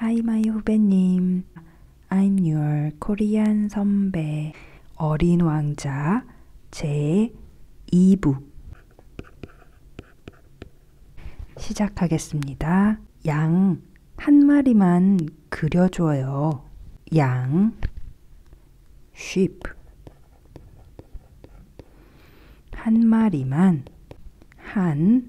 Hi, my 후배님. I'm your Korean 선배. 어린 왕자 제 2부. 시작하겠습니다. 양 한 마리만 그려줘요. 양 sheep 한 마리만 한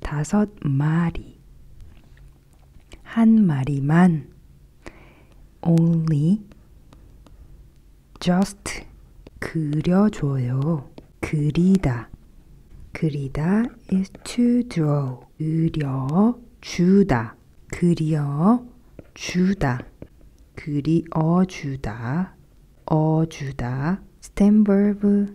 다섯 마리 한 마리만 only just 그려줘요 그리다 그리다 is to draw 그려주다 그려주다 그리어주다 어주다 스탠 verb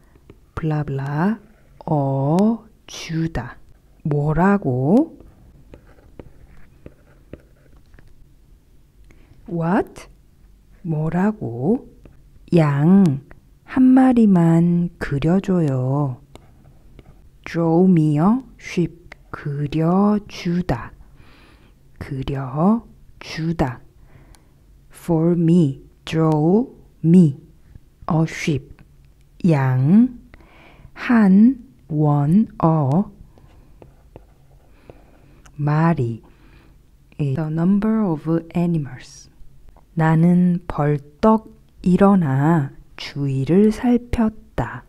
블라블라 어 주다 뭐라고 what 뭐라고 양 한 마리만 그려줘요. draw me요 쉽 그려주다 그려주다 for me draw me 어쉽, 양, 한, 원, 어, 마리, the number of animals. 나는 벌떡 일어나 주위를 살폈다.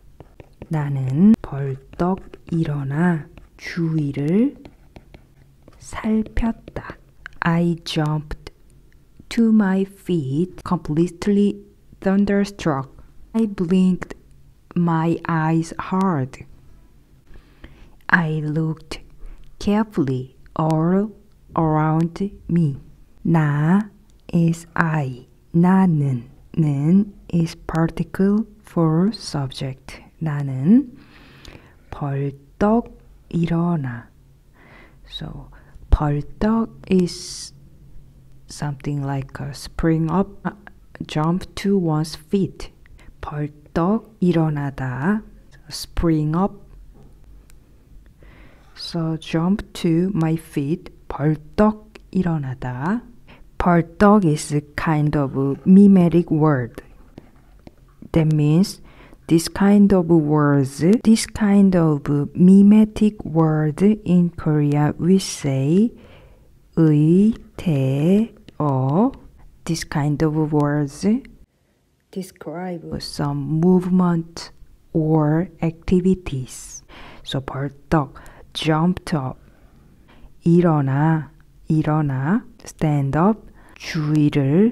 나는 벌떡 일어나 주위를 살폈다. I jumped to my feet, completely thunderstruck. I blinked my eyes hard. I looked carefully all around me. 나 is I. 나는 는 is particle for subject. 나는 벌떡 일어나 so paltak is something like a spring up, uh, jump to one's feet. 벌떡 일어나다, spring up. So jump to my feet, 벌떡 일어나다. 벌떡 is a kind of a mimetic word. That means this kind of words, this kind of mimetic words in Korea we say 의태어 This kind of words describe some movement or activities. So 벌떡 jumped up 일어나 일어나 stand up 주의를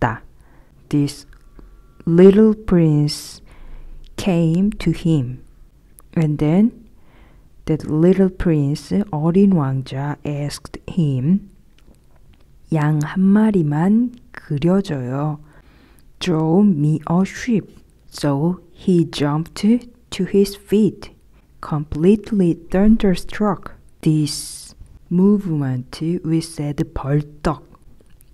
있다. This little prince came to him. And then the little prince 어린 왕자 asked him 양 한 마리만 그려줘요. Draw me a sheep. So he jumped to his feet, completely thunderstruck. This movement we said 벌떡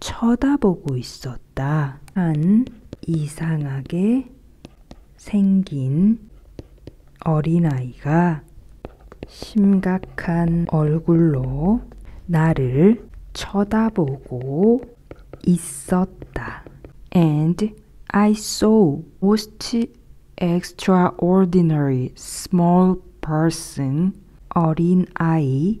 쳐다보고 있었다. 한 이상하게 생긴 어린아이가 심각한 얼굴로 나를 쳐다보고 있었다. And I saw most extraordinary small person 어린아이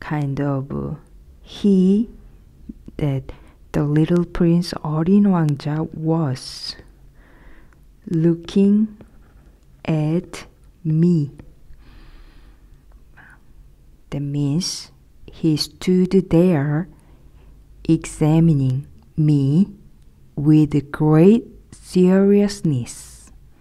kind of uh, he that the little prince Orin Wangja was looking at me. That means he stood there examining me with great seriousness.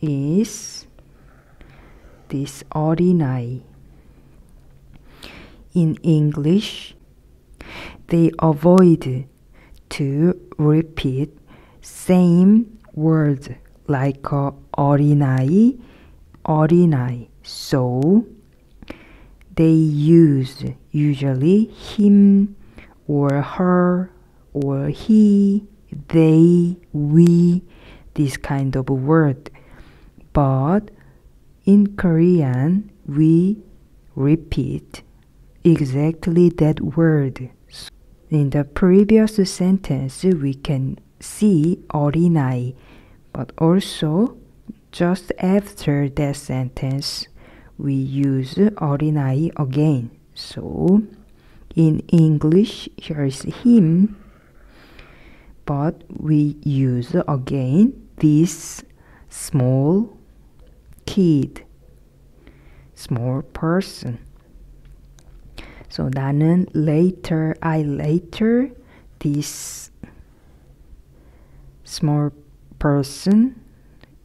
is this ordinary. In English, they avoid to repeat same words like uh, ordinary, ordinary. So they use usually him or her or he, they, we, this kind of word. But in Korean, we repeat exactly that word. In the previous sentence, we can see 어린아이, but also just after that sentence, we use 어린아이 again. So, in English, here is him, but we use again this small kid, small person. So 나는 later, I later, this small person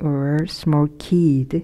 or small kid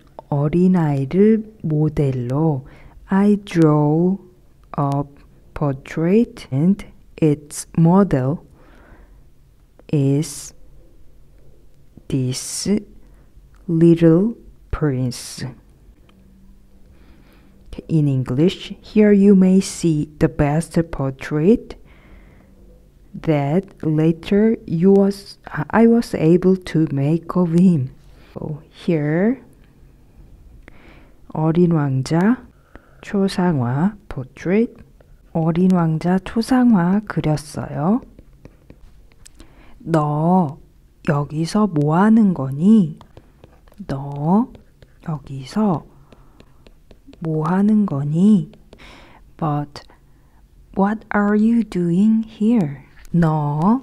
Or in 어린아이를 모델로 I draw a portrait and its model is this little prince. In English, here you may see the best portrait that later you was I was able to make of him. here 어린 왕자, 초상화, portrait, 어린 왕자 초상화 그렸어요. 너 여기서 뭐 하는 거니? 너 여기서 뭐 하는 거니? But what are you doing here? 너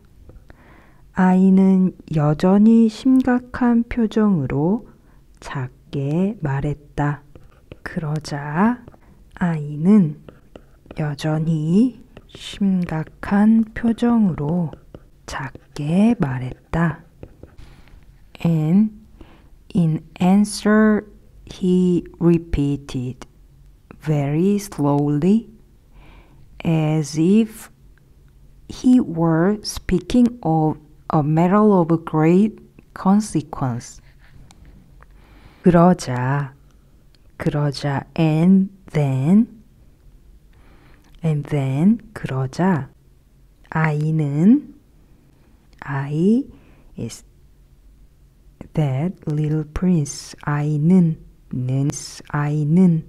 아이는 여전히 심각한 표정으로 작게 말했다. 그러자 아이는 여전히 심각한 표정으로 작게 말했다. And in answer he repeated very slowly as if he were speaking of a matter of great consequence. 그러자, 그러자, and then, and then, 그러자, 아이는, I is that little prince, 아이는, 는, 아이는,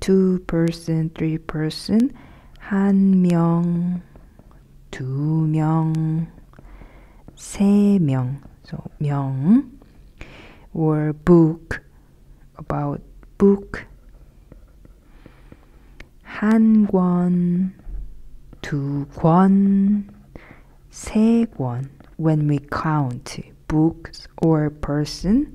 two person, three person, 한 명, 두 명, 세 명, so 명, or book, about book, 한 권, 두 권, 세 권, when we count books or person,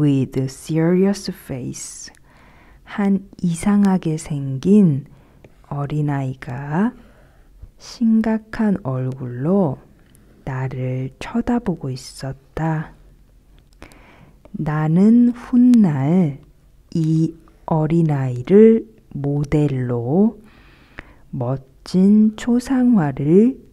with serious face 한 이상하게 생긴 어린아이가 심각한 얼굴로 나를 쳐다보고 있었다. 나는 훗날 이 어린아이를 모델로 멋진 초상화를